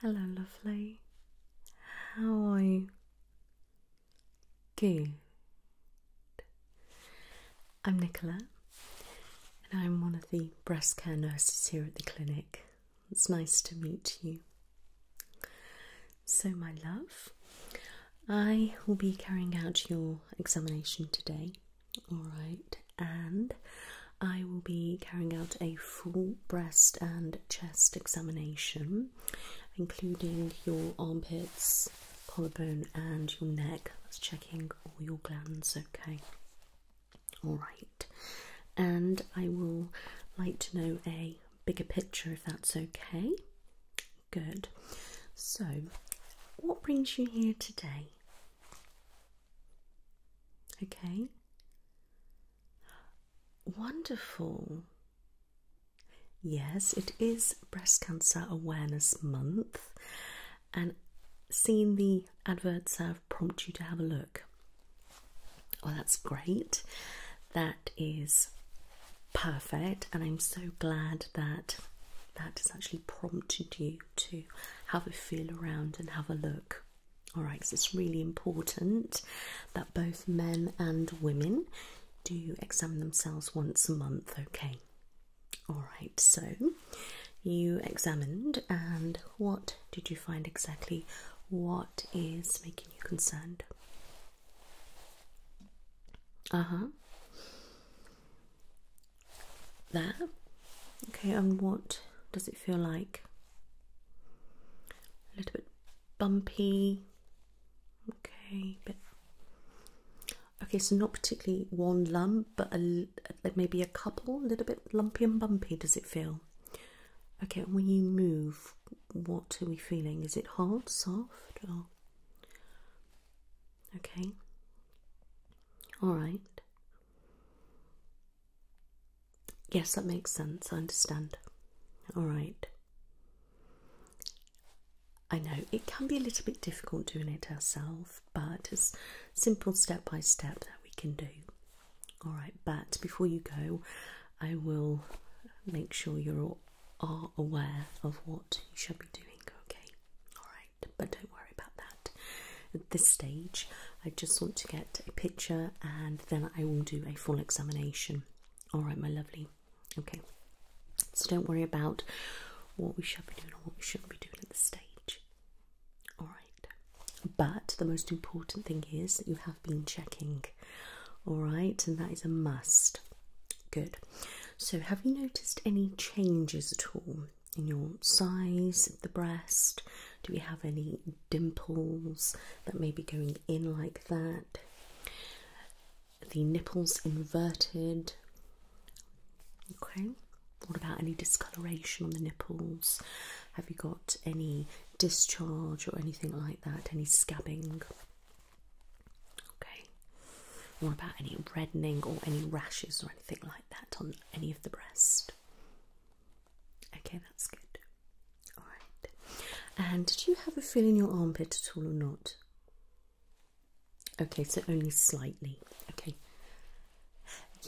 Hello, lovely. How are you? Good. I'm Nicola, and I'm one of the breast care nurses here at the clinic. It's nice to meet you. So, my love, I will be carrying out your examination today, alright, and I will be carrying out a full breast and chest examination, including your armpits, collarbone, and your neck. That's checking all your glands, okay? Alright, and I will like to know a bigger picture if that's okay. Good. So, what brings you here today? Okay. Wonderful. Yes, it is Breast Cancer Awareness Month, and seeing the adverts have prompted you to have a look. Well, that's great. That is perfect, and I'm so glad that that has actually prompted you to have a feel around and have a look. Alright, so it's really important that both men and women do examine themselves once a month, okay? Alright, so you examined, and what did you find exactly? What is making you concerned? Uh huh. There. Okay, and what does it feel like? A little bit bumpy. Okay, bit. Okay, so not particularly one lump, but a, maybe a couple, a little bit lumpy and bumpy. Does it feel? Okay, when you move, what are we feeling? Is it hard, soft, or Okay. All right. Yes, that makes sense. I understand. All right. I know it can be a little bit difficult doing it ourselves, but it's simple step by step that we can do. All right, but before you go, I will make sure you're all are aware of what you should be doing, okay? Alright, but don't worry about that. At this stage, I just want to get a picture and then I will do a full examination. Alright, my lovely. Okay, so don't worry about what we should be doing or what we shouldn't be doing at this stage. Alright, but the most important thing is that you have been checking, alright, and that is a must. Good. So, have you noticed any changes at all in your size of the breast? Do we have any dimples that may be going in like that? The nipples inverted. Okay. What about any discoloration on the nipples? Have you got any discharge or anything like that? Any scabbing? Okay. Or about any reddening or any rashes or anything like that on any of the breast. Okay, that's good. Alright. And did you have a feel in your armpit at all or not? Okay, so only slightly. Okay.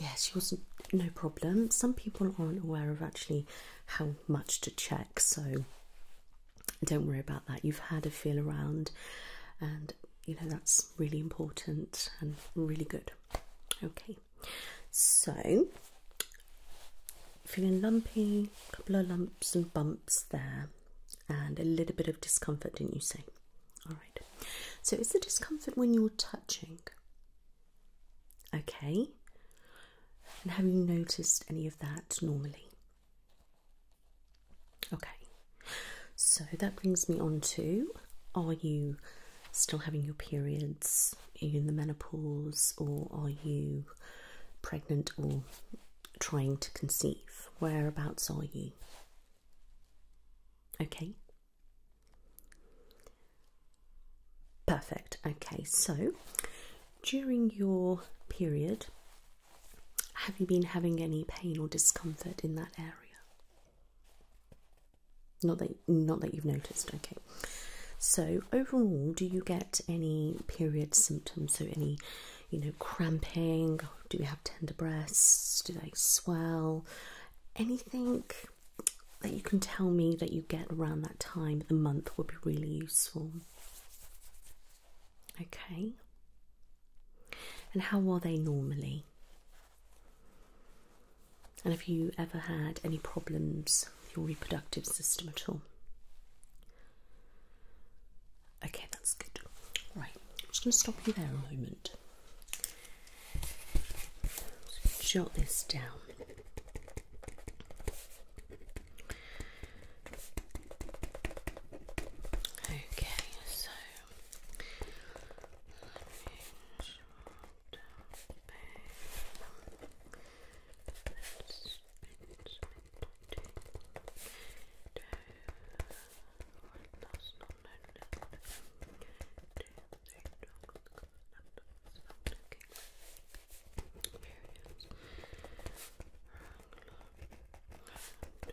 Yes, yours no problem. Some people aren't aware of actually how much to check, so don't worry about that. You've had a feel around, and you know that's really important and really good. Okay, so feeling lumpy, a couple of lumps and bumps there, and a little bit of discomfort, didn't you say? All right, so is the discomfort when you're touching? Okay, and have you noticed any of that normally? Okay, so that brings me on to are you still having your periods? in the menopause or are you pregnant or trying to conceive? Whereabouts are you? Okay. Perfect. Okay, so during your period, have you been having any pain or discomfort in that area? Not that not that you've noticed, okay. So overall, do you get any period symptoms? So any, you know, cramping? Do you have tender breasts? Do they swell? Anything that you can tell me that you get around that time, the month would be really useful. Okay. And how are they normally? And have you ever had any problems with your reproductive system at all? Okay, that's good. Right, I'm just going to stop you there a moment. Jot this down. Okay, so let me short down Let's spin, spin, Do not known little do three dog look at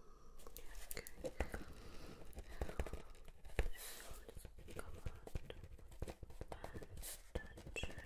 Okay. Now, come out and check. No history of reproductive errors.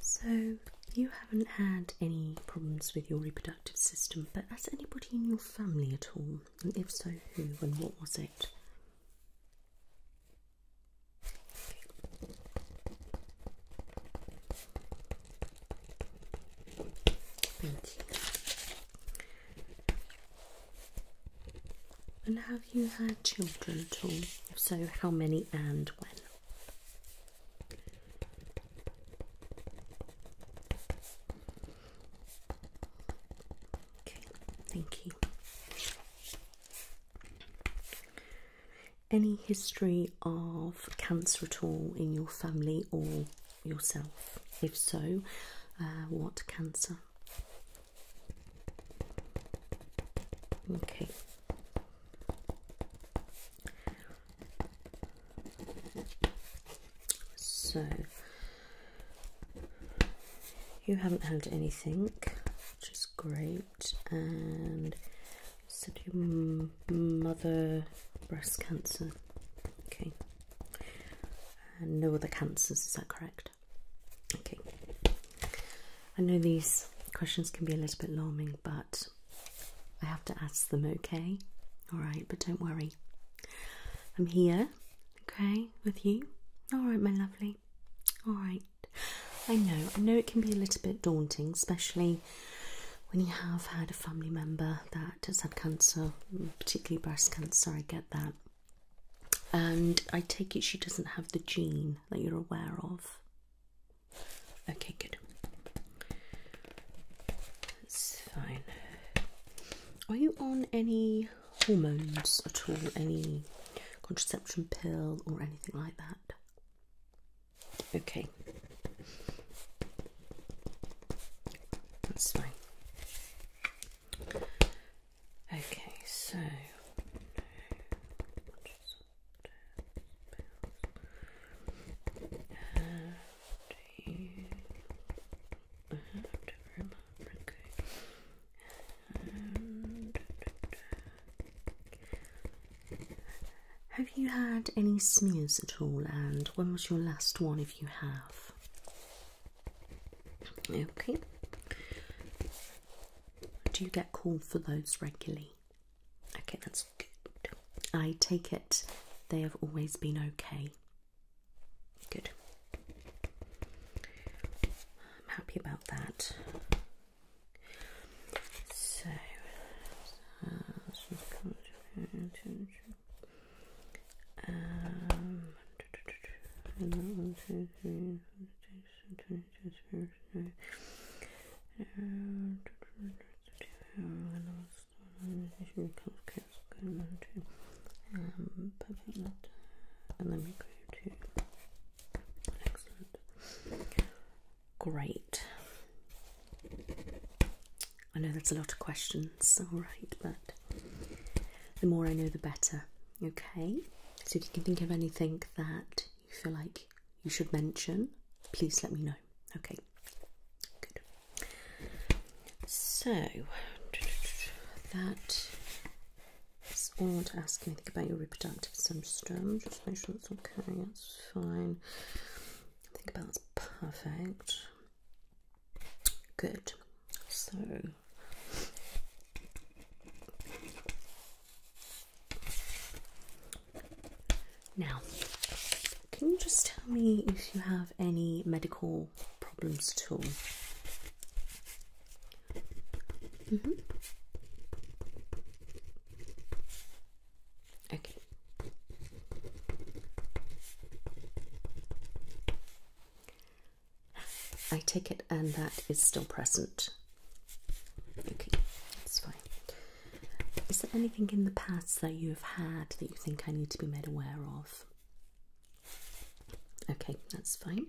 So, you haven't had any problems with your reproductive system, but has anybody in your family at all? And if so, who and what was it? And have you had children at all? If so, how many and when? Okay, thank you. Any history of cancer at all in your family or yourself? If so, uh, what cancer? Okay, so you haven't had anything, which is great, and said your mother breast cancer. Okay, and no other cancers. Is that correct? Okay. I know these questions can be a little bit alarming, but I have to ask them, okay? All right, but don't worry. I'm here, okay, with you. All right, my lovely. All right. I know, I know it can be a little bit daunting, especially when you have had a family member that has had cancer, particularly breast cancer. I get that. And I take it she doesn't have the gene that you're aware of. Okay, good. That's fine. Are you on any hormones at all? Any contraception pill or anything like that? Okay. That's fine. Okay, so. Have you had any smears at all? And when was your last one? If you have, okay. Do you get called for those regularly? Okay, that's good. I take it they have always been okay. Good. I'm happy about that. So, um, great. I know that's a lot of questions, alright, but the more I know, the better. Okay, so if you can think of anything that you feel like you should mention, please let me know. Okay, good. So that is all to ask anything about your reproductive system. Just make sure that's okay, that's fine. think about that's perfect. Good. So now, can you just tell me if you have any medical problems at all? Mm-hmm. Okay. I take it, and that is still present. Okay, that's fine. Is there anything in the past that you have had that you think I need to be made aware of? Okay, that's fine.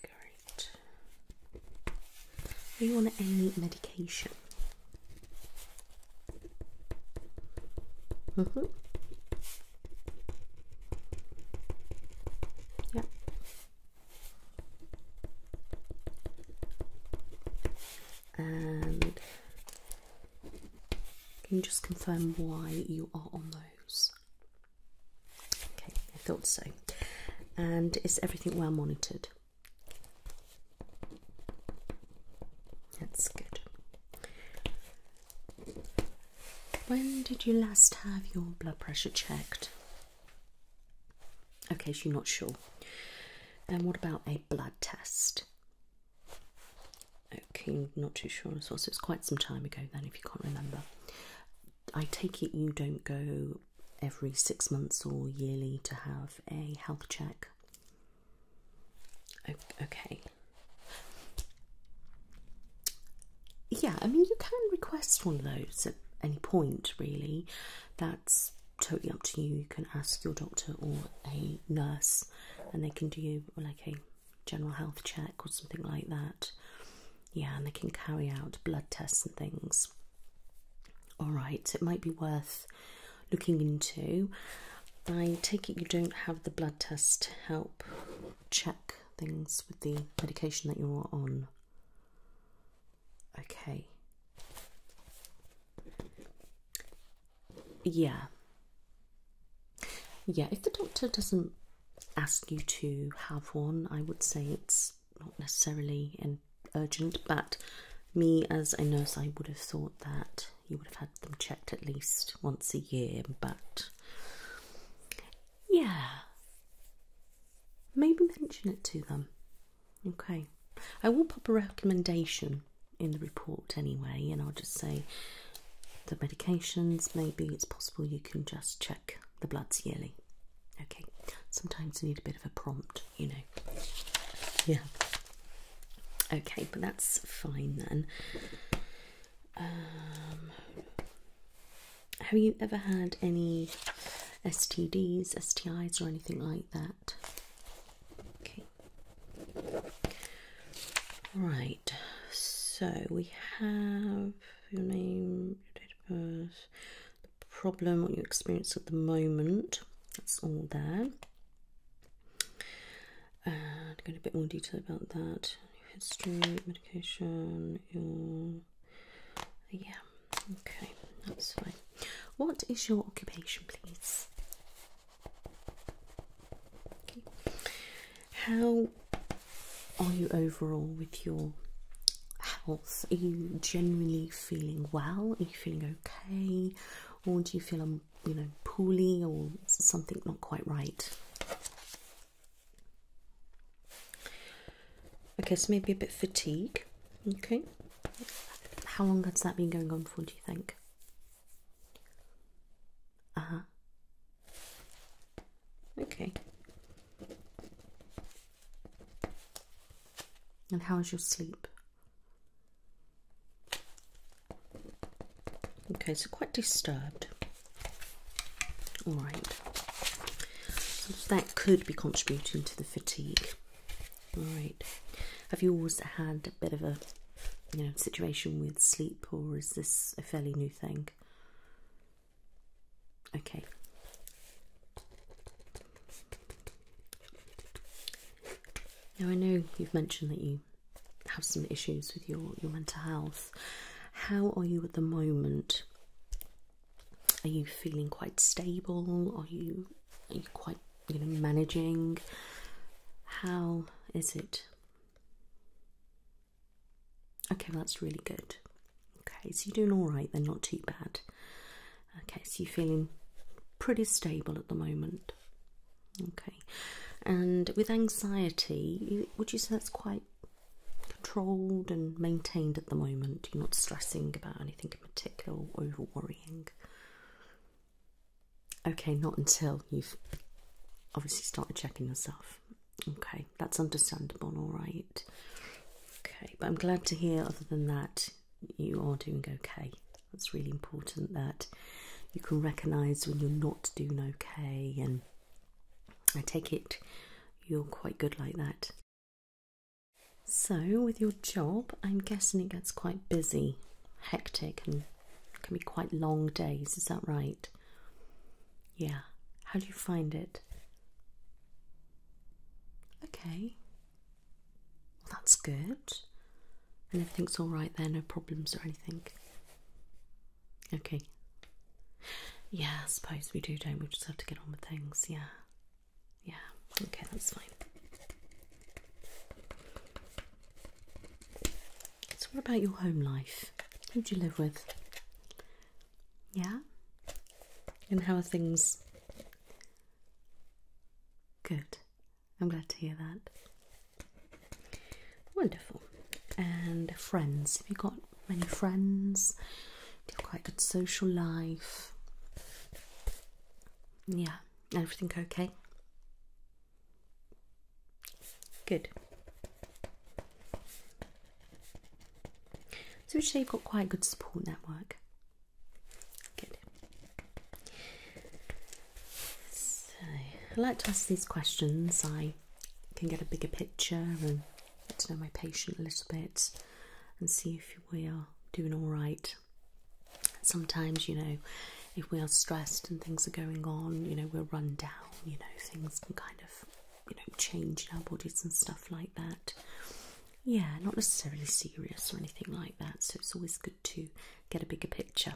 Great. Are you on any medication? Mm-hmm. Yeah, And can you just confirm why you are on those? Okay, I thought so. And is everything well monitored? That's good. When did you last have your blood pressure checked? Okay, so you're not sure. And what about a blood test? Okay, not too sure as well. So it's quite some time ago then, if you can't remember. I take it you don't go every six months or yearly to have a health check. Okay yeah, I mean, you can request one of those at any point, really. That's totally up to you. You can ask your doctor or a nurse, and they can do like a general health check or something like that. Yeah, and they can carry out blood tests and things. All right, it might be worth looking into. I take it you don't have the blood test help check things with the medication that you're on. Okay. Yeah. Yeah, if the doctor doesn't ask you to have one, I would say it's not necessarily an urgent, but me as a nurse, I would have thought that you would have had them checked at least once a year, but yeah, maybe mention it to them. Okay, I will pop a recommendation in the report anyway, and I'll just say the medications. Maybe it's possible you can just check the bloods yearly. Okay, sometimes you need a bit of a prompt, you know. Yeah. Okay, but that's fine then. Um, have you ever had any STDs, STIs, or anything like that? Okay. Right. So we have your name, your date of birth, the problem, what you experience at the moment. That's all there and get a bit more detail about that history, medication, yeah, okay, that's fine. What is your occupation, please? How are you overall with your health? Are you generally feeling well? Are you feeling okay, or do you feel um, you know poorly or something not quite right? Okay, so maybe a bit fatigue. Okay. How long has that been going on for, do you think? Uh huh. Okay. And how is your sleep? Okay, so quite disturbed. All right, that could be contributing to the fatigue. All right, have you always had a bit of a you know situation with sleep, or is this a fairly new thing? Okay. Now I know you've mentioned that you have some issues with your, your mental health. How are you at the moment? Are you feeling quite stable? Are you are you quite you know managing? How is it? Okay, well, that's really good. Okay, so you're doing all right. They're not too bad. Okay, so you're feeling pretty stable at the moment. Okay, and with anxiety, would you say that's quite controlled and maintained at the moment? You're not stressing about anything in particular or over worrying? Okay, not until you've obviously started checking yourself. Okay, that's understandable, all right. Okay, but I'm glad to hear, other than that, you are doing okay. That's really important that you can recognize when you're not doing okay and I take it you're quite good like that. So, with your job, I'm guessing it gets quite busy, hectic, and can be quite long days, is that right? Yeah. How do you find it? Okay. Well, that's good. And everything's all right there, no problems or anything. Okay. Yeah, I suppose we do, don't we? Just have to get on with things. Yeah. Yeah. Okay, that's fine. So, what about your home life? Who do you live with? Yeah? And how are things? Good. I'm glad to hear that. Wonderful. And friends, have you got many friends? you have quite good social life? Yeah, everything okay? Good. So, would you say you've got quite a good support network? Good. So, I like to ask these questions. I can get a bigger picture and get to know my patient a little bit and see if we are doing all right. Sometimes, you know, if we are stressed and things are going on, you know, we're run down, you know, things can kind of, you know, change in our bodies and stuff like that. Yeah, not necessarily serious or anything like that, so it's always good to get a bigger picture.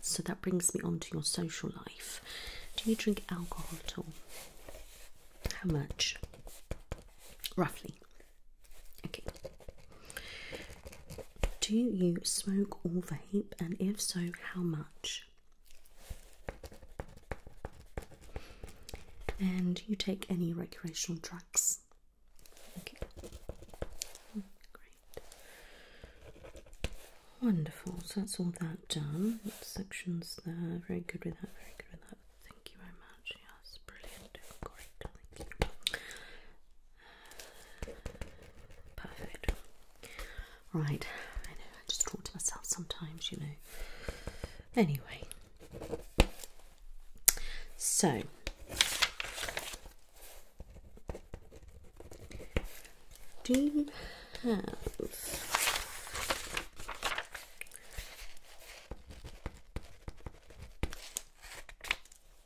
So that brings me on to your social life. Do you drink alcohol at all? How much? Roughly. Okay. Do you smoke or vape? And if so, how much? And you take any recreational drugs? Okay. Hmm, great. Wonderful, so that's all that done. section's there, very good with that, very good with that. Thank you very much, yes, brilliant, great, thank you. Perfect. Right, I know, I just talk to myself sometimes, you know. Anyway, so do you have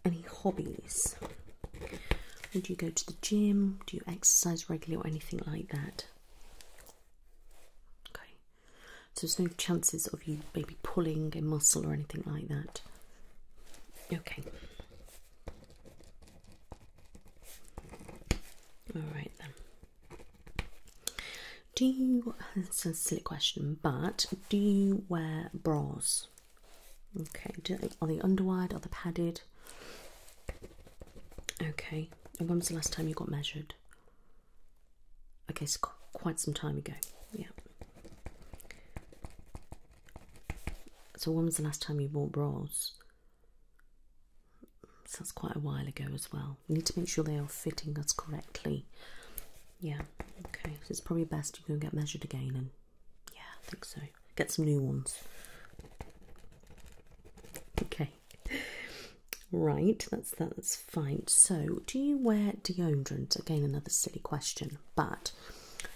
any hobbies? do you go to the gym? Do you exercise regularly or anything like that? Okay, so there's no chances of you maybe pulling a muscle or anything like that. Okay. Alright then. Do you, it's a silly question, but do you wear bras? Okay, are they underwire? Are they padded? Okay, when was the last time you got measured? Okay, so quite some time ago, yeah. So when was the last time you bought bras? So that's quite a while ago as well. We need to make sure they are fitting us correctly. Yeah, okay. it's probably best you go and get measured again and yeah, I think so. Get some new ones. Okay. Right, that's that's fine. So, do you wear deodorant? Again, another silly question, but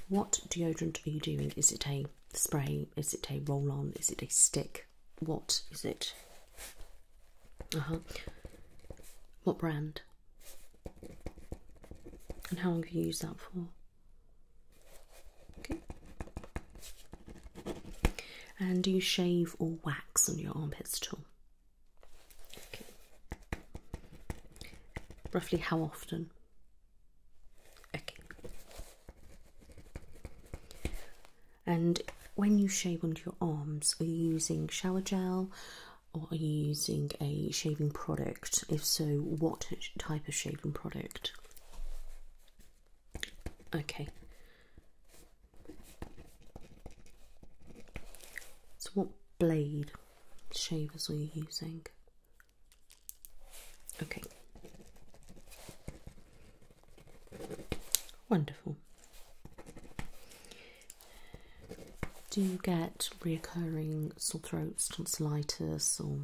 what deodorant are you doing? Is it a spray? Is it a roll on? Is it a stick? What is it? Uh huh. What brand? And how long have you used that for? Okay. And do you shave or wax on your armpits at all? Okay. Roughly how often? Okay. And when you shave under your arms, are you using shower gel or are you using a shaving product? If so, what type of shaving product? Okay. So, what blade shavers are you using? Okay. Wonderful. Do you get reoccurring sore throats, tonsillitis, or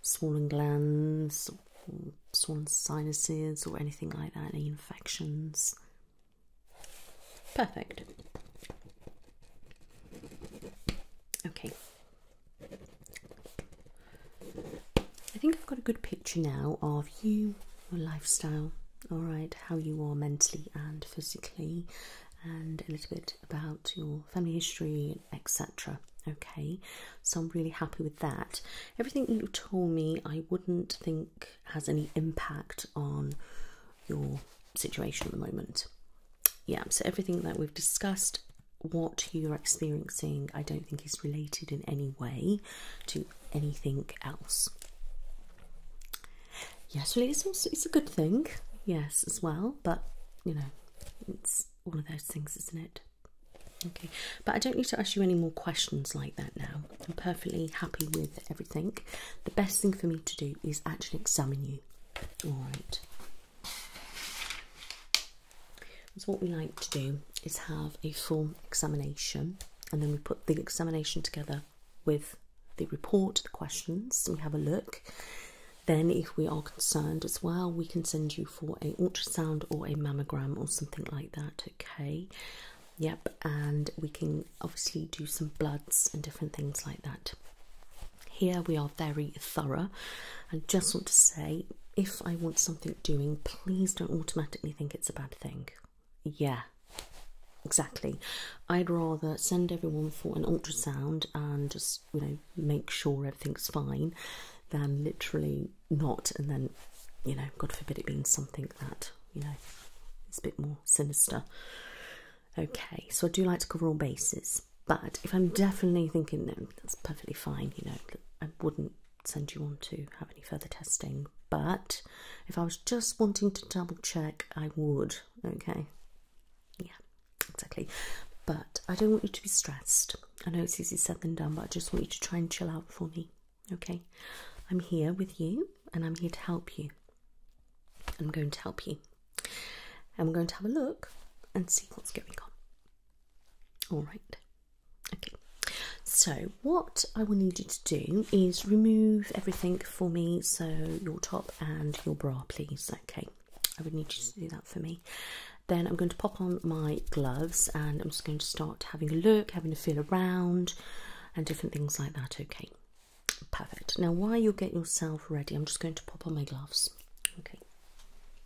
swollen glands, or swollen sinuses, or anything like that? Any infections? Perfect. Okay, I think I've got a good picture now of you, your lifestyle, all right, how you are mentally and physically, and a little bit about your family history, etc. Okay, so I'm really happy with that. Everything you told me, I wouldn't think has any impact on your situation at the moment. Yeah, so everything that we've discussed what you're experiencing, I don't think, is related in any way to anything else. Yes, really, it's, also, it's a good thing, yes, as well, but you know, it's one of those things, isn't it? Okay, but I don't need to ask you any more questions like that now. I'm perfectly happy with everything. The best thing for me to do is actually examine you. All right. So what we like to do is have a full examination and then we put the examination together with the report, the questions, we have a look. Then if we are concerned as well, we can send you for a ultrasound or a mammogram or something like that, okay? Yep, and we can obviously do some bloods and different things like that. Here we are very thorough. I just want to say if I want something doing, please don't automatically think it's a bad thing. Yeah, exactly. I'd rather send everyone for an ultrasound and just, you know, make sure everything's fine than literally not and then, you know, God forbid it being something that, you know, is a bit more sinister. Okay, so I do like to cover all bases, but if I'm definitely thinking, no, that's perfectly fine, you know, I wouldn't send you on to have any further testing, but if I was just wanting to double check, I would. Okay, yeah, exactly. But I don't want you to be stressed. I know it's easier said than done, but I just want you to try and chill out for me. Okay, I'm here with you and I'm here to help you. I'm going to help you, and we're going to have a look and see what's going on. All right. Okay, so what I will need you to do is remove everything for me, so your top and your bra, please. Okay, I would need you to do that for me. Then I'm going to pop on my gloves and I'm just going to start having a look, having a feel around, and different things like that. Okay, perfect. Now, while you get yourself ready, I'm just going to pop on my gloves. Okay.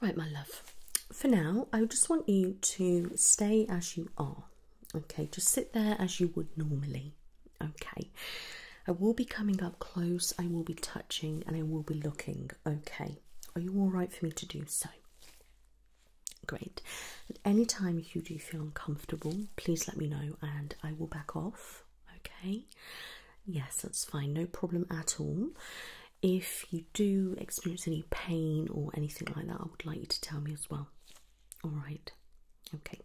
Right, my love. For now, I just want you to stay as you are. Okay, just sit there as you would normally. Okay. I will be coming up close, I will be touching, and I will be looking. Okay. Are you all right for me to do so? Great. At any time if you do feel uncomfortable, please let me know and I will back off. Okay, yes, that's fine, no problem at all. If you do experience any pain or anything like that, I would like you to tell me as well. All right, okay.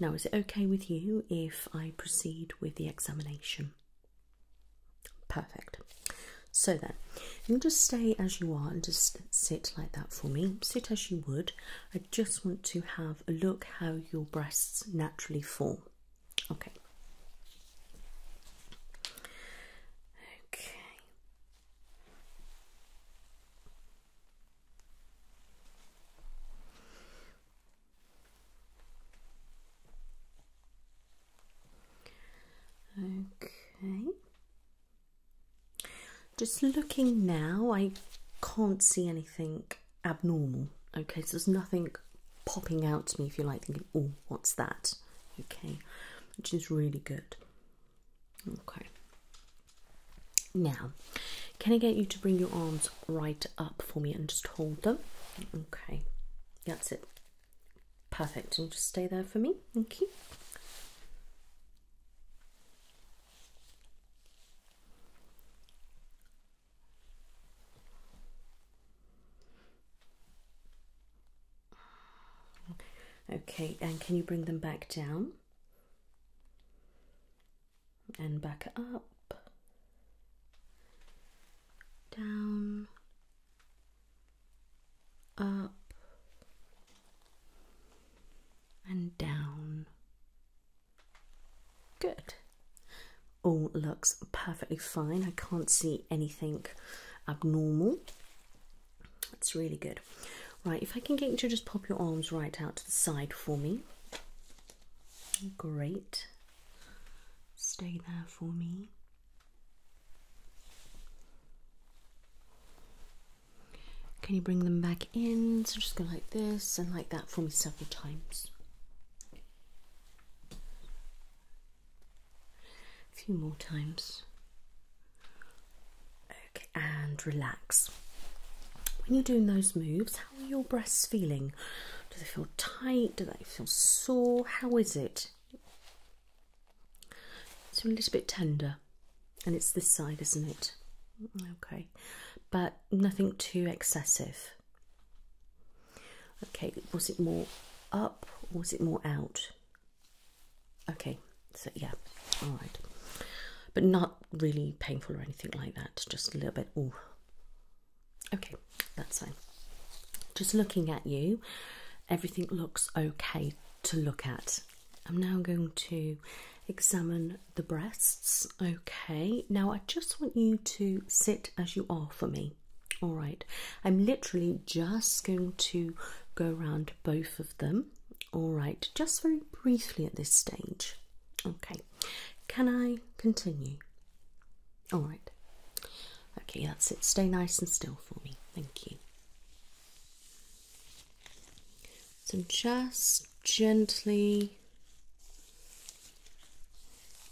Now, is it okay with you if I proceed with the examination? Perfect. So then, you just stay as you are and just sit like that for me. Sit as you would. I just want to have a look how your breasts naturally form. Okay. Okay. Okay. Just looking now, I can't see anything abnormal. Okay, so there's nothing popping out to me if you like thinking, oh, what's that? Okay, which is really good. Okay. Now, can I get you to bring your arms right up for me and just hold them? Okay, that's it. Perfect, and just stay there for me. Thank you. Okay, and can you bring them back down? And back up. Down. Up. And down. Good. All looks perfectly fine. I can't see anything abnormal. That's really good. Right, if I can get you to just pop your arms right out to the side for me. Great. Stay there for me. Can you bring them back in? So just go like this and like that for me several times. A few more times. Okay, and relax. When you're doing those moves, how are your breasts feeling? Do they feel tight? Do they feel sore? How is it? It's a little bit tender, and it's this side, isn't it? Okay, but nothing too excessive. Okay, was it more up or was it more out? Okay, so yeah, all right, but not really painful or anything like that, just a little bit. Oh, Okay, that's fine. Just looking at you, everything looks okay to look at. I'm now going to examine the breasts, Okay, now I just want you to sit as you are for me. All right, I'm literally just going to go around both of them. All right, just very briefly at this stage. Okay, can I continue? All right, okay, that's it. Stay nice and still for me. Thank you. So, just gently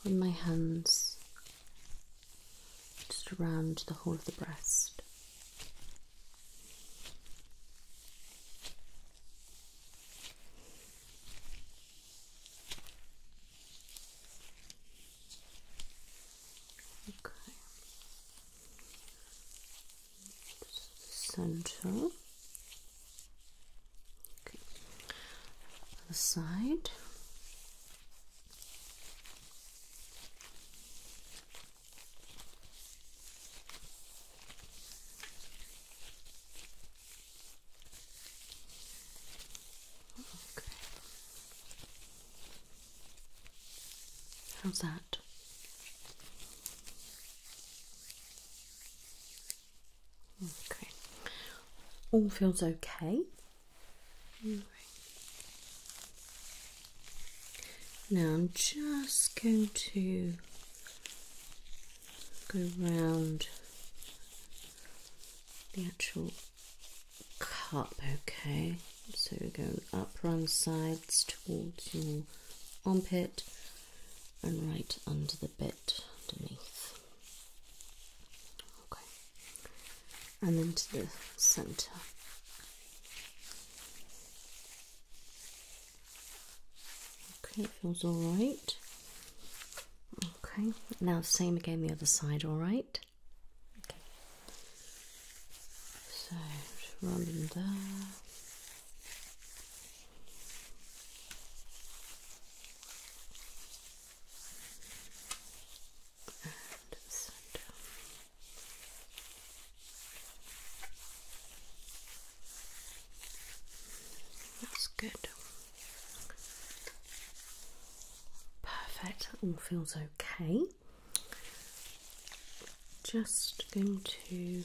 on my hands, just around the whole of the breast. Okay. Center. The side. Okay. How's that? Okay, all feels okay. Now I'm just going to go round the actual cup, okay? So we're going up round sides towards your armpit and right under the bit underneath. Okay. And then to the center. Okay, it feels all right. Okay, now same again the other side, all right? Okay. So, just there. That's good. Perfect, that all feels okay. Just going to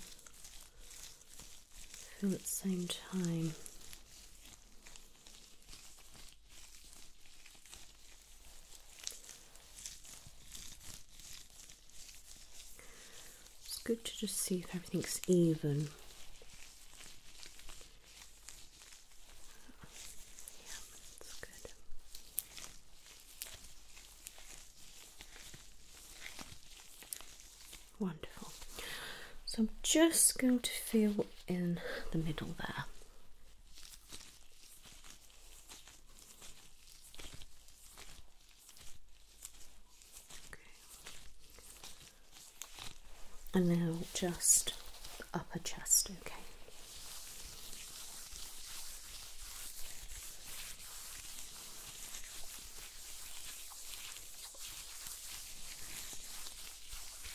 feel at the same time. It's good to just see if everything's even. Yeah, that's good. Wonderful. So I'm just going to feel in the middle there. And now just upper chest, okay.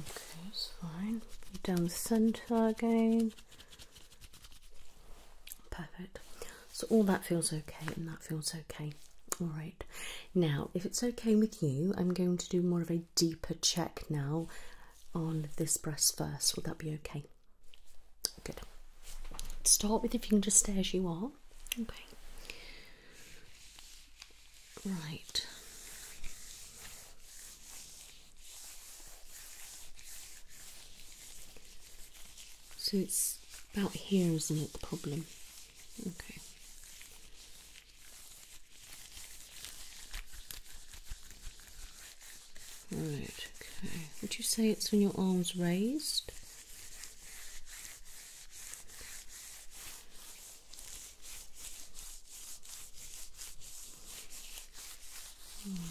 Okay, it's fine. Down the centre again. Perfect. So all that feels okay and that feels okay. All right. Now, if it's okay with you, I'm going to do more of a deeper check now on this breast first. Would that be okay? Good. Start with if you can just stay as you are. Okay. Right. So it's about here, isn't it? The problem. Okay. Right, okay. Would you say it's when your arm's raised? Hmm.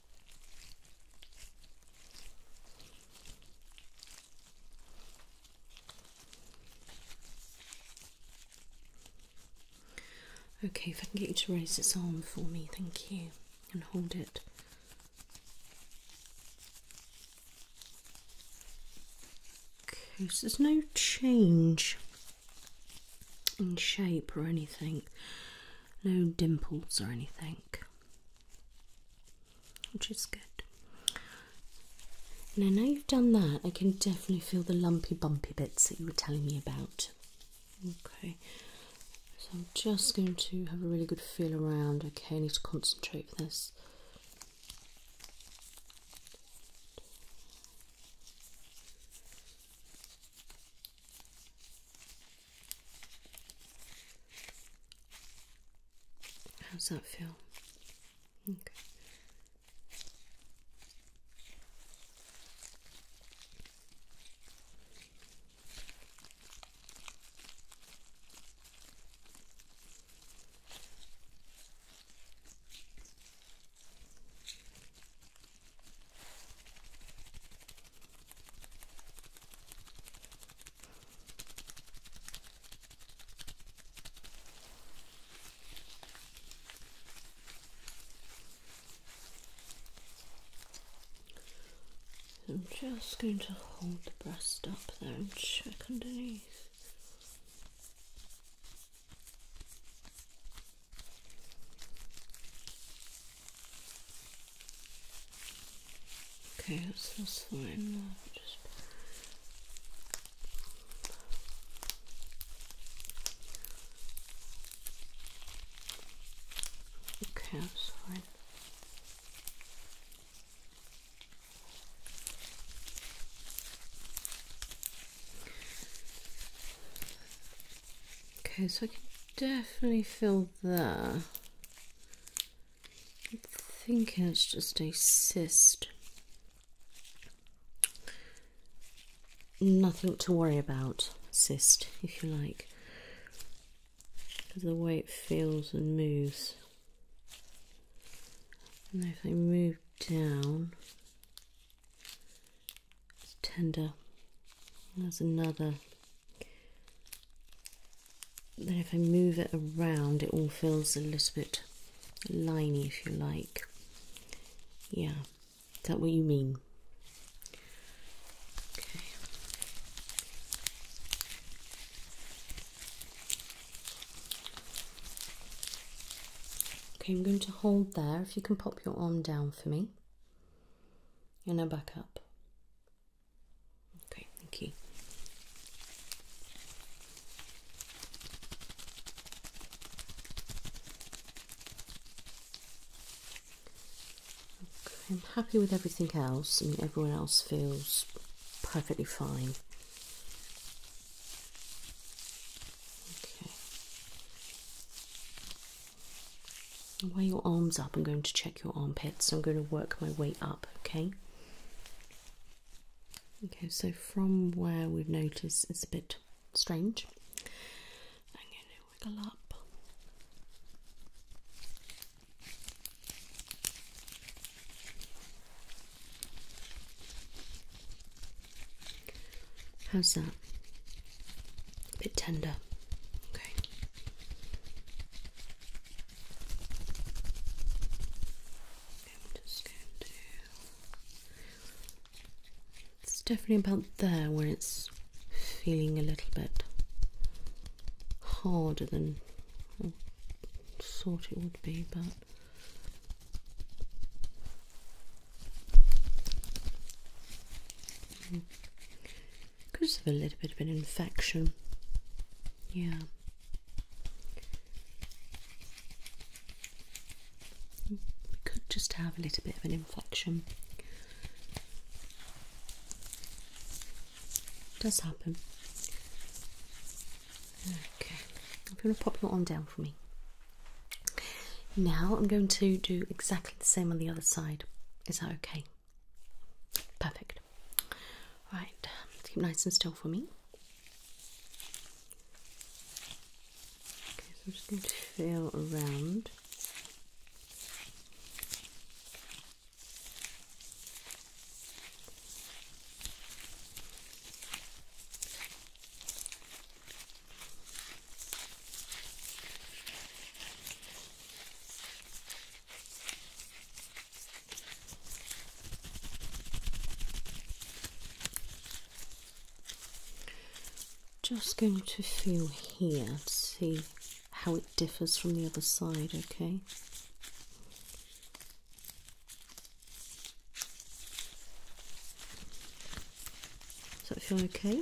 Okay, if I can get you to raise this arm for me, thank you, and hold it. Okay, so there's no change in shape or anything, no dimples or anything which is good. Now, now you've done that, I can definitely feel the lumpy, bumpy bits that you were telling me about. Okay, so I'm just going to have a really good feel around. Okay, need to concentrate for this. How's that feel? Okay. I'm just going to hold the breast up there and check underneath. Okay, that's, fine. Okay, that's fine. Okay, so I can definitely feel there. I'm thinking it's just a cyst. Nothing to worry about, cyst, if you like, because the way it feels and moves. And if I move down, it's tender. There's another then if I move it around, it all feels a little bit liney, if you like. Yeah, is that what you mean? Okay. Okay, I'm going to hold there. If you can pop your arm down for me, and now back up. Okay, thank you. I'm happy with everything else. I mean, everyone else feels perfectly fine. Okay. Wear your arms up. I'm going to check your armpits. So I'm going to work my way up. Okay. Okay, so from where we've noticed it's a bit strange, I'm going to wiggle up. How's that? A bit tender. Okay. It's definitely about there where it's feeling a little bit harder than I thought it would be, but. Because of a little bit of an infection. Yeah. We could just have a little bit of an infection. does happen. Okay. If you want to pop your arm down for me. Now I'm going to do exactly the same on the other side. Is that okay? Perfect. Right, let's keep nice and still for me. Okay, so I'm just going to feel around. Just going to feel here to see how it differs from the other side, okay? Does that feel okay?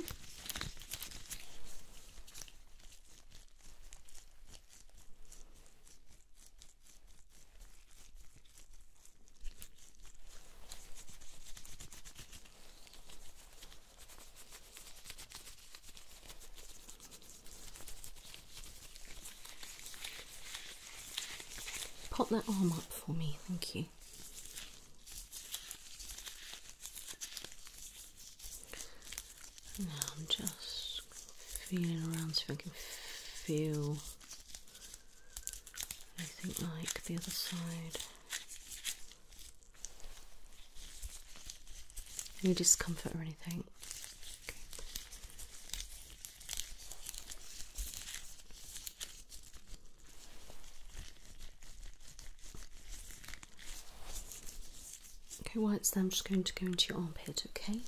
Pop that arm up for me, thank you. I'm just feeling around so I can feel anything like the other side. Any discomfort or anything? Okay, once then I'm just going to go into your armpit, okay?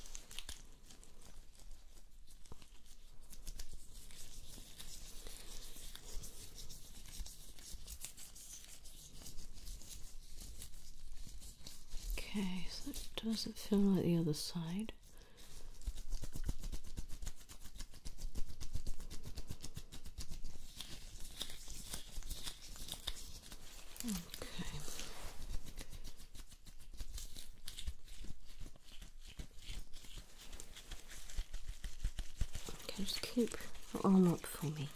Okay, so does it feel like the other side. Okay. Okay, just keep your arm up for me.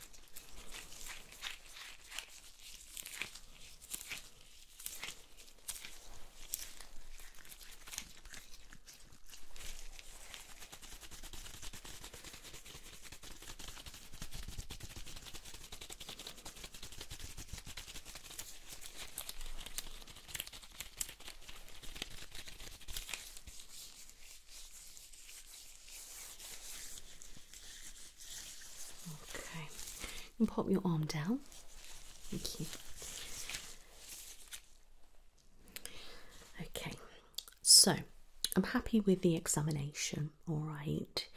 Okay, and pop your arm down. Thank you. Okay, so I'm happy with the examination all right.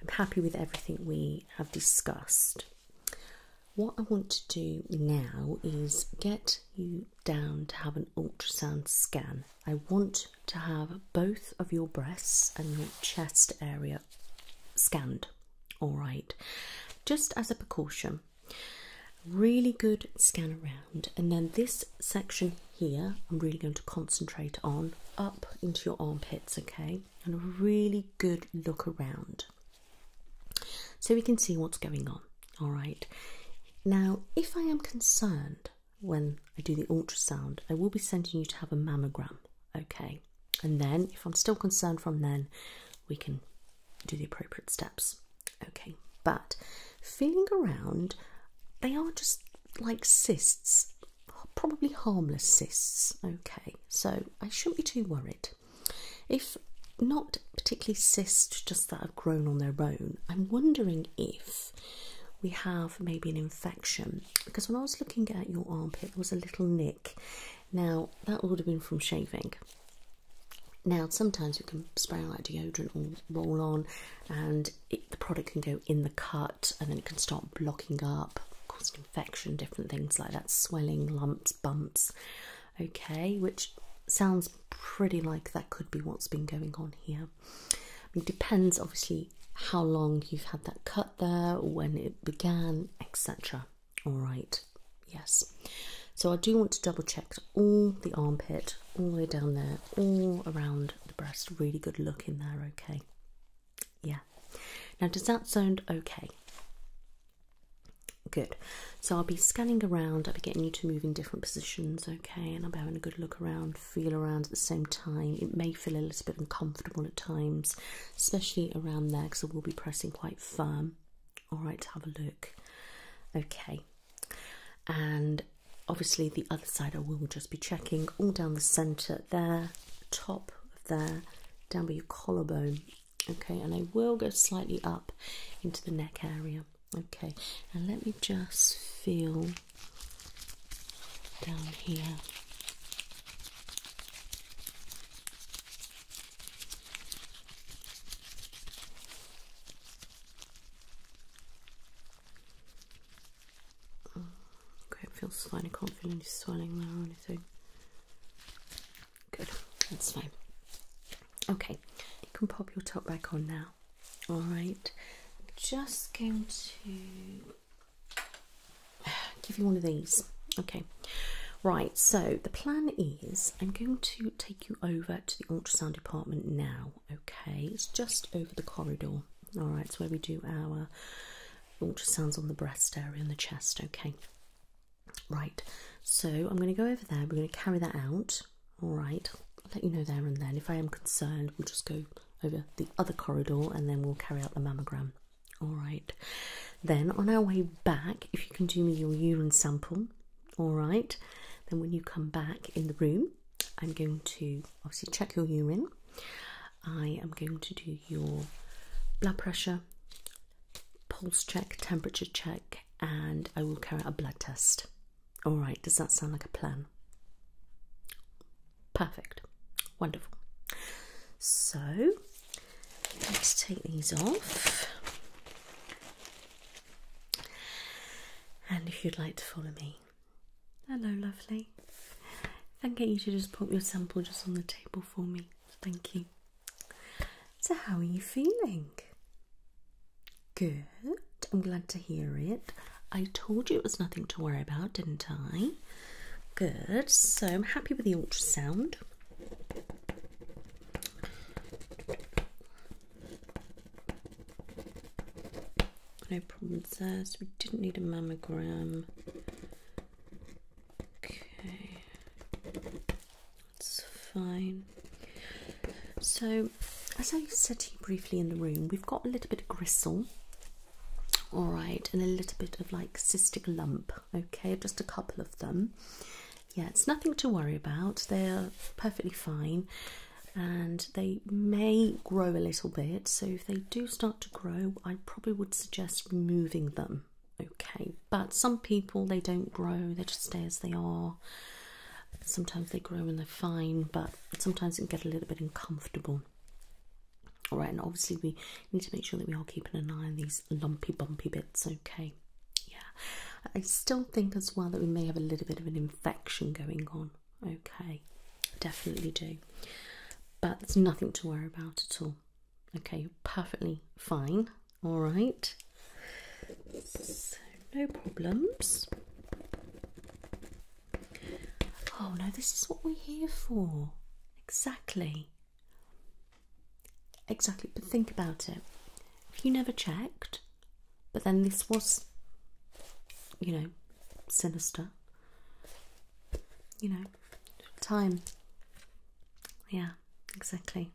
I'm happy with everything we have discussed. What I want to do now is get you down to have an ultrasound scan. I want to have both of your breasts and your chest area scanned, all right, just as a precaution. Really good scan around, and then this section here I'm really going to concentrate on up into your armpits, okay, and a really good look around so we can see what's going on. All right, now if I am concerned when I do the ultrasound, I will be sending you to have a mammogram, okay, and then if I'm still concerned from then, we can do the appropriate steps, okay. But feeling around, they are just like cysts probably harmless cysts. Okay, so I shouldn't be too worried. If not particularly cysts, just that have grown on their own, I'm wondering if we have maybe an infection because when I was looking at your armpit, there was a little nick. Now, that would have been from shaving. Now, sometimes you can spray on like deodorant or roll on, and the product can go in the cut and then it can start blocking up, cause infection, different things like that, swelling, lumps, bumps. Okay, which sounds pretty like that could be what's been going on here. I depends obviously how long you've had that cut there, when it began, etc. All right, yes. So I do want to double check all the armpit, all the way down there, all around the breast. Really good look in there, okay. Yeah. Now, does that sound okay? Good. So I'll be scanning around, I'll be getting you to move in different positions, okay? And I'll be having a good look around, feel around at the same time. It may feel a little bit uncomfortable at times, especially around there because we will be pressing quite firm. All right, have a look. Okay. And obviously the other side I will just be checking all down the centre there, top, of there, down by your collarbone. Okay, and I will go slightly up into the neck area. Okay, and let me just feel down here. Okay, it feels slightly confident swelling there or anything. Good, that's fine. Okay, you can pop your top back on now. Alright, I'm just going to give you one of these. Okay, right, so the plan is I'm going to take you over to the ultrasound department now. Okay, it's just over the corridor. Alright, it's where we do our ultrasounds on the breast area and the chest. Okay, right. So I'm going to go over there. We're going to carry that out. All right. I'll let you know there and then. If I am concerned, we'll just go over the other corridor and then we'll carry out the mammogram. All right. Then on our way back, if you can do me your urine sample, all right. Then when you come back in the room, I'm going to obviously check your urine. I am going to do your blood pressure, pulse check, temperature check, and I will carry out a blood test. All right, does that sound like a plan? Perfect, wonderful. So let's take these off. And if you'd like to follow me, Hello, lovely. Thank can you to just put your sample just on the table for me. Thank you. So, how are you feeling? Good. I'm glad to hear it. I told you it was nothing to worry about, didn't I? Good. So, I'm happy with the ultrasound. No problems there. we didn't need a mammogram. Okay, that's fine. So, as I said to you briefly in the room, we've got a little bit of gristle, all right, and a little bit of like cystic lump, okay, just a couple of them. Yeah, it's nothing to worry about, they're perfectly fine. And they may grow a little bit, so if they do start to grow, I probably would suggest just removing them. Okay, but some people they don't grow, they just stay as they are. Sometimes they grow and they're fine, but sometimes it get a little bit uncomfortable. All right, and obviously we need to make sure that we are keeping an eye on these lumpy, bumpy bits. Okay, yeah. I still think as well that we may have a little bit of an infection going on. Okay, Definitely do. But there's nothing to worry about at all. Okay, you're perfectly fine. All right. So, no problems. Oh no, this is what we're here for. Exactly. Exactly, but think about it. If you never checked, but then this was, you know, sinister, you know, time. Yeah, exactly.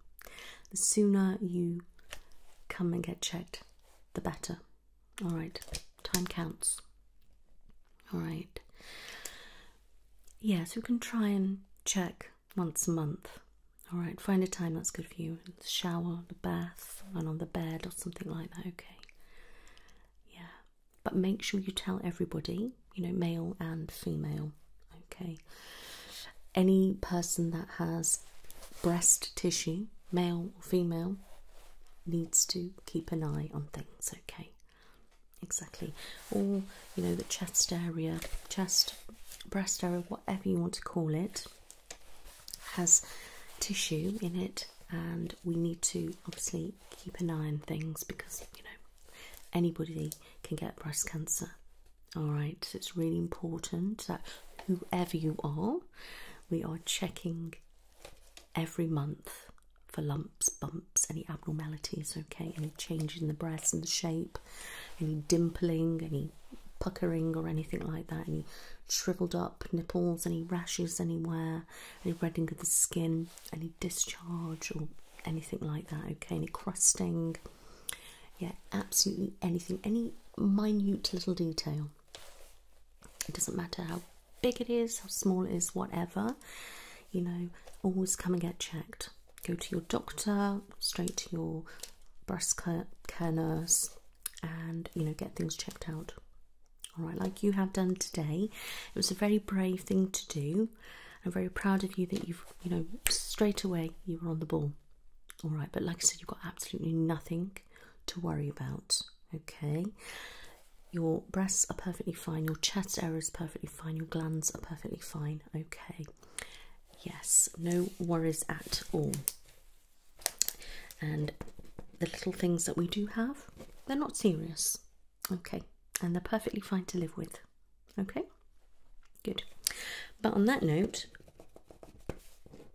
The sooner you come and get checked, the better. All right, time counts. All right. Yeah, so we can try and check once a month. All right, find a time that's good for you. shower, the bath, and on the bed or something like that. Okay. Yeah but make sure you tell everybody, you know, male and female. Okay, any person that has breast tissue, male or female, needs to keep an eye on things. Okay, exactly, or you know, the chest area, chest, breast area, whatever you want to call it, has tissue in it, and we need to obviously keep an eye on things because you know Anybody can get breast cancer. Alright, so it's really important that whoever you are, we are checking every month for lumps, bumps, any abnormalities, okay, any change in the breast and the shape, any dimpling, any puckering or anything like that, any shriveled up nipples, any rashes anywhere any reddening of the skin, any discharge or anything like that, okay, any crusting, yeah, absolutely anything, any minute little detail. It doesn't matter how big it is, how small it is, whatever, you know, always come and get checked. Go to your doctor, straight to your breast care nurse, and you know, get things checked out all right, like you have done today. It was a very brave thing to do. I'm very proud of you that you've, you know, straight away you were on the ball. All right, but like I said, you've got absolutely nothing to worry about. Okay, your breasts are perfectly fine, your chest area is perfectly fine, your glands are perfectly fine. Okay, yes, no worries at all. And the little things that we do have, they're not serious. Okay, and they're perfectly fine to live with. Okay, good. But on that note,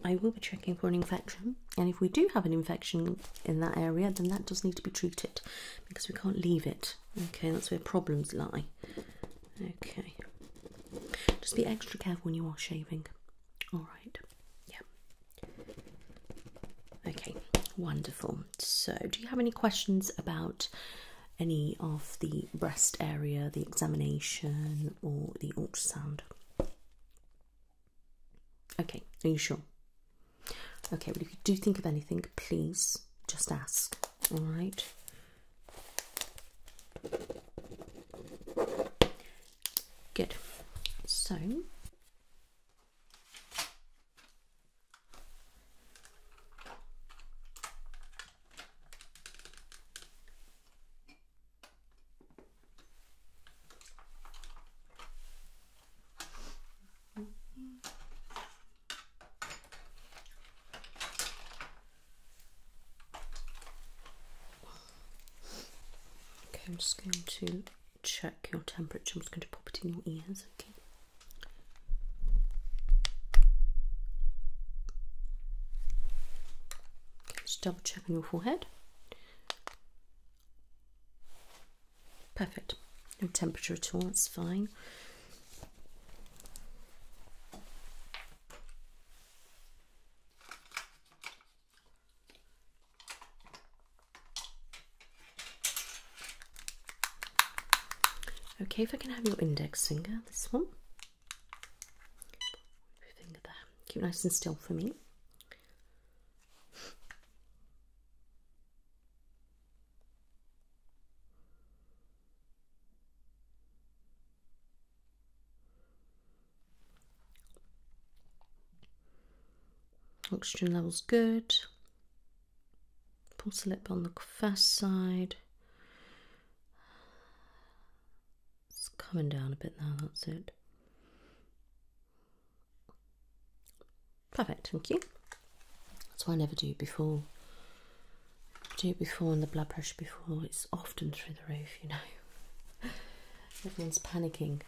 I will be checking for an infection, and if we do have an infection in that area, then that does need to be treated because we can't leave it. Okay, that's where problems lie. Okay, just be extra careful when you are shaving. All right, yeah. Okay, wonderful. So, do you have any questions about any of the breast area, the examination, or the ultrasound? Okay, are you sure? Okay, well, if you do think of anything, please just ask, all right? Good. So, Okay, I'm just going to check your temperature. I'm just going to pop it in your ears, okay? just double check on your forehead. Perfect. No temperature at all, It's fine. Okay, if I can have your index finger, this one. Finger there. Keep nice and still for me. Oxygen levels good. Pulse lip on the first side. It's coming down a bit now, that's it. Perfect, thank you. That's why I never do it before. Do it before and the blood pressure before, it's often through the roof, you know. Everyone's panicking.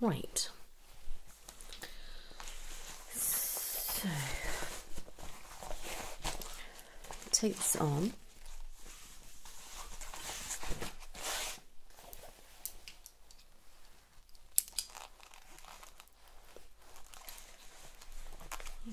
Right. So take this on. Okay.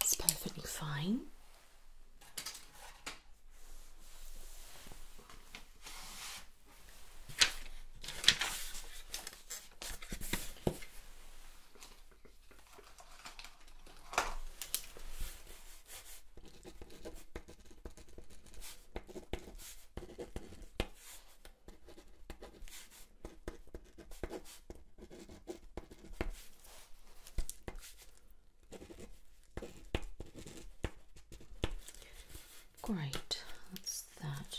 It's perfectly fine. Great, that's that.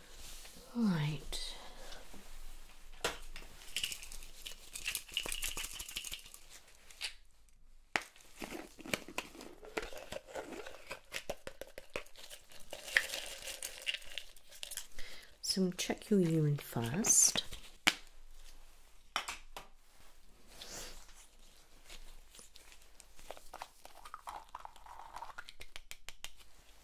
All right. So we'll check your urine first.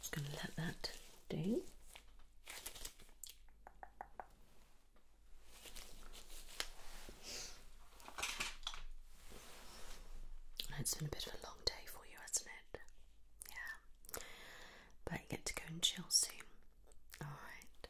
Just going to let that do. It's been a bit of a long day for you, hasn't it? Yeah. But you get to go and chill soon. Alright.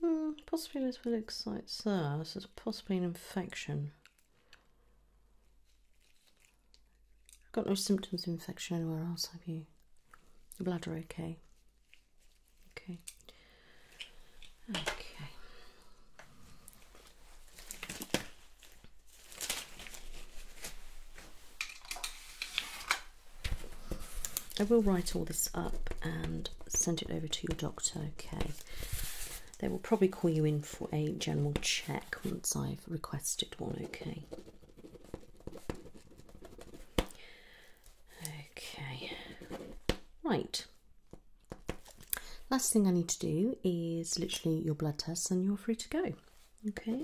Hmm, possibly this will excite sir. This is possibly an infection. Got no symptoms of infection anywhere else, have you? The bladder okay? Okay. Okay. I will write all this up and send it over to your doctor, okay? They will probably call you in for a general check once I've requested one, okay? Okay, right. Last thing I need to do is literally your blood tests, and you're free to go. Okay,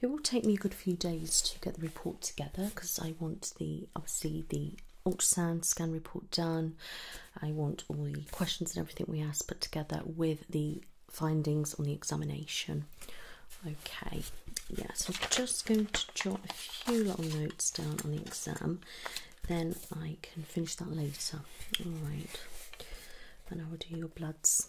it will take me a good few days to get the report together because I want the obviously the ultrasound scan report done. I want all the questions and everything we asked put together with the findings on the examination. Okay, yeah, so I'm just going to jot a few little notes down on the exam, then I can finish that later. Alright, then I will do your bloods.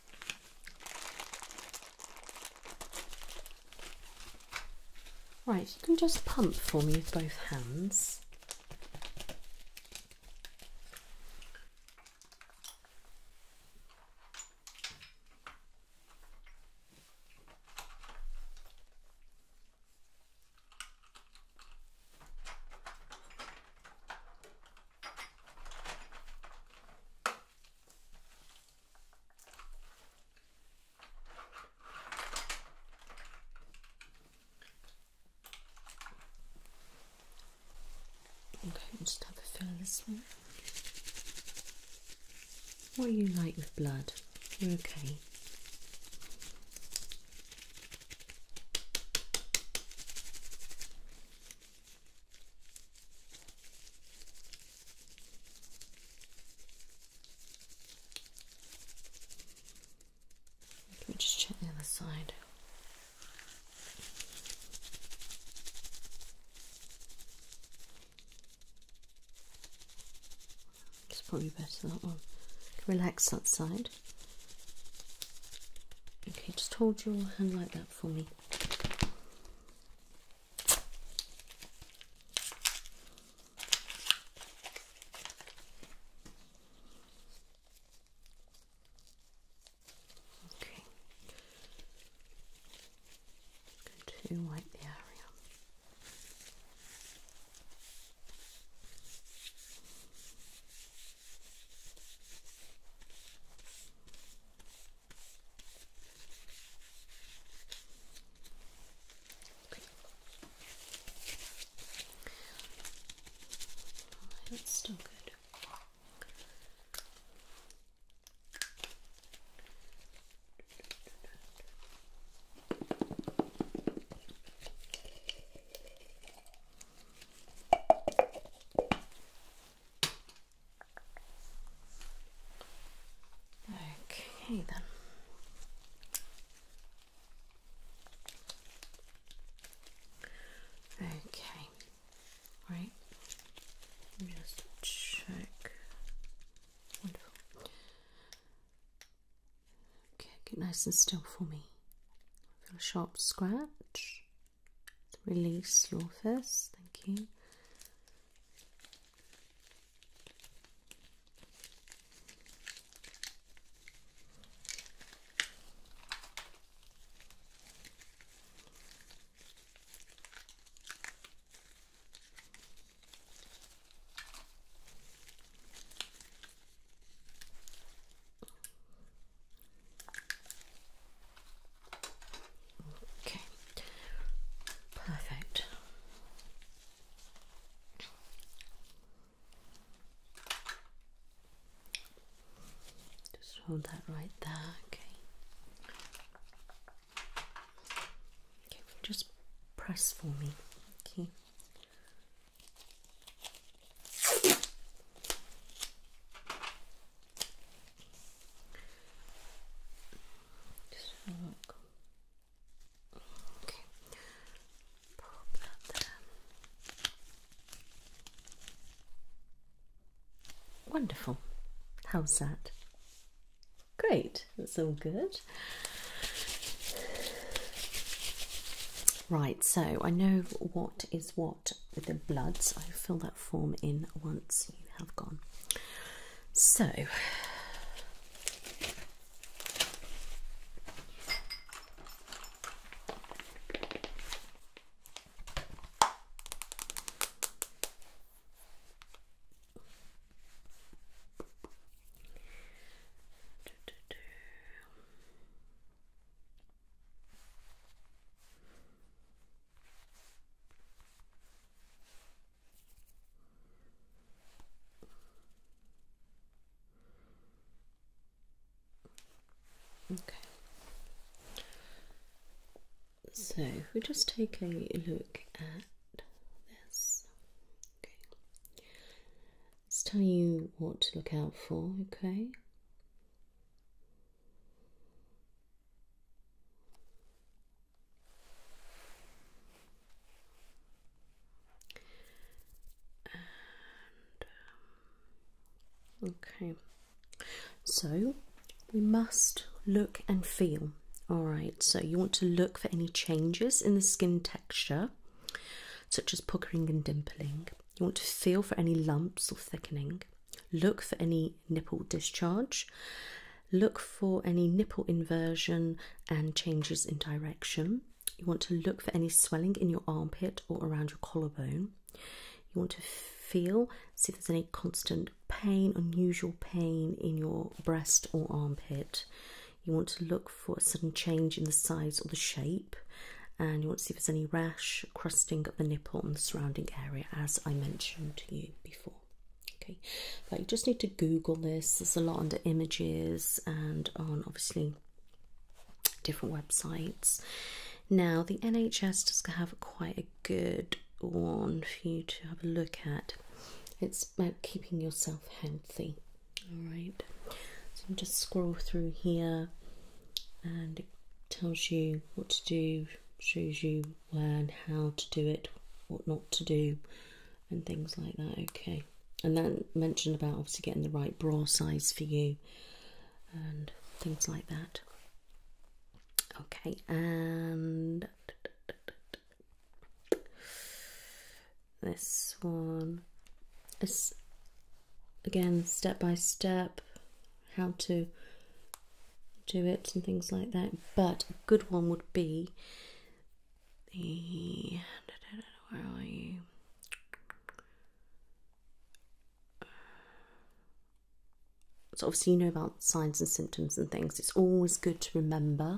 Right, you can just pump for me with both hands. Okay, just have a feel this one. What do you like with blood? You're okay. Let me just check the other side. It's probably better that one. Relax that side. Okay, just hold your hand like that for me. to wipe the area. That's oh, still good. Okay, then. Okay, right. Just check. Wonderful. Okay, get nice and still for me. Feel a sharp scratch. Release your fist. Thank you. Okay, perfect. Just hold that right there, okay. Okay, just press for me, okay. Just look. Wonderful. How's that? Great. That's all good. Right, so I know what is what with the blood, so i fill that form in once you have gone. So, Okay. So if we just take a look at this, okay. Let's tell you what to look out for, okay? Um, okay, so we must look and feel. All right, so you want to look for any changes in the skin texture, such as puckering and dimpling. You want to feel for any lumps or thickening. Look for any nipple discharge. Look for any nipple inversion and changes in direction. You want to look for any swelling in your armpit or around your collarbone. You want to feel, see if there's any constant pain, unusual pain in your breast or armpit. You want to look for a sudden change in the size or the shape, and you want to see if there's any rash, crusting at the nipple nipple and the surrounding area, as I mentioned to you before. Okay, but you just need to Google this. There's a lot under images and on obviously different websites. Now, the NHS does have quite a good one for you to have a look at. It's about keeping yourself healthy. All right, so you just scroll through here, and it tells you what to do, shows you learn how to do it, what not to do, and things like that. Okay, and then mention about obviously getting the right bra size for you and things like that. Okay, and this one is again step by step how to do it and things like that. But a good one would be the So obviously you know about signs and symptoms and things. It's always good to remember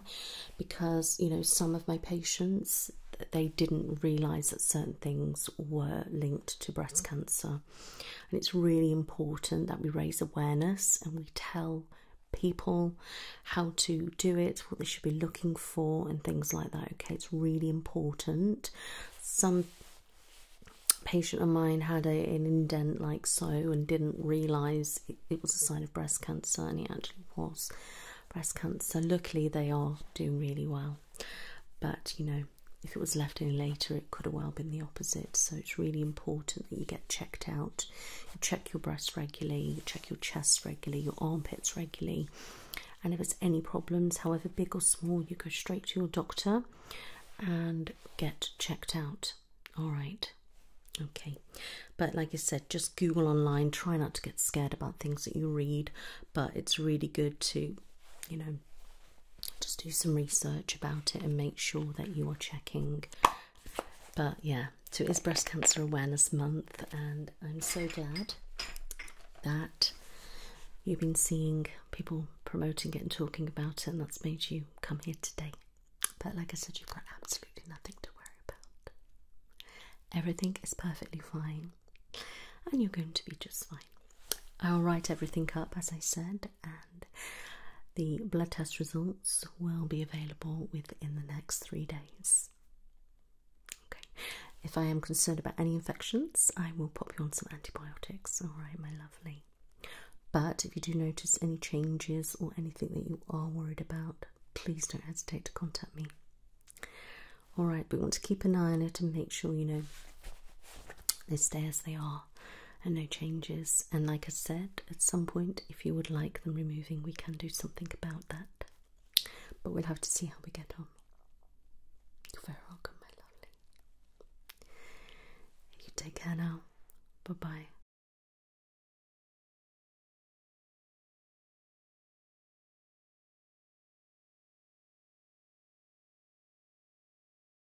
because you know some of my patients they didn't realise that certain things were linked to breast cancer and it's really important that we raise awareness and we tell people how to do it, what they should be looking for, and things like that. Okay, it's really important. Some patient of mine had an indent like so and didn't realize it, it was a sign of breast cancer, and it actually was breast cancer. Luckily, they are doing really well, but you know, if it was left any later, it could have well been the opposite. So it's really important that you get checked out. You check your breasts regularly, you check your chest regularly, your armpits regularly. And if it's any problems, however big or small, you go straight to your doctor and get checked out. All right. Okay, but like I said, just Google online. Try not to get scared about things that you read, but it's really good to, you know, just do some research about it and make sure that you are checking. But yeah, so it is Breast Cancer Awareness Month, and I'm so glad that you've been seeing people promoting it and talking about it, and that's made you come here today. But like I said, you've got absolutely nothing to worry about. Everything is perfectly fine, and you're going to be just fine. I'll write everything up as I said, and the blood test results will be available within the next three days. Okay, if I am concerned about any infections, I will pop you on some antibiotics. All right, my lovely. But if you do notice any changes or anything that you are worried about, please don't hesitate to contact me. All right, we want to keep an eye on it and make sure you know they stay as they are and no changes. And like I said, at some point, if you would like them removing, we can do something about that. But we'll have to see how we get on. You're very welcome, my lovely. You take care now. Bye bye.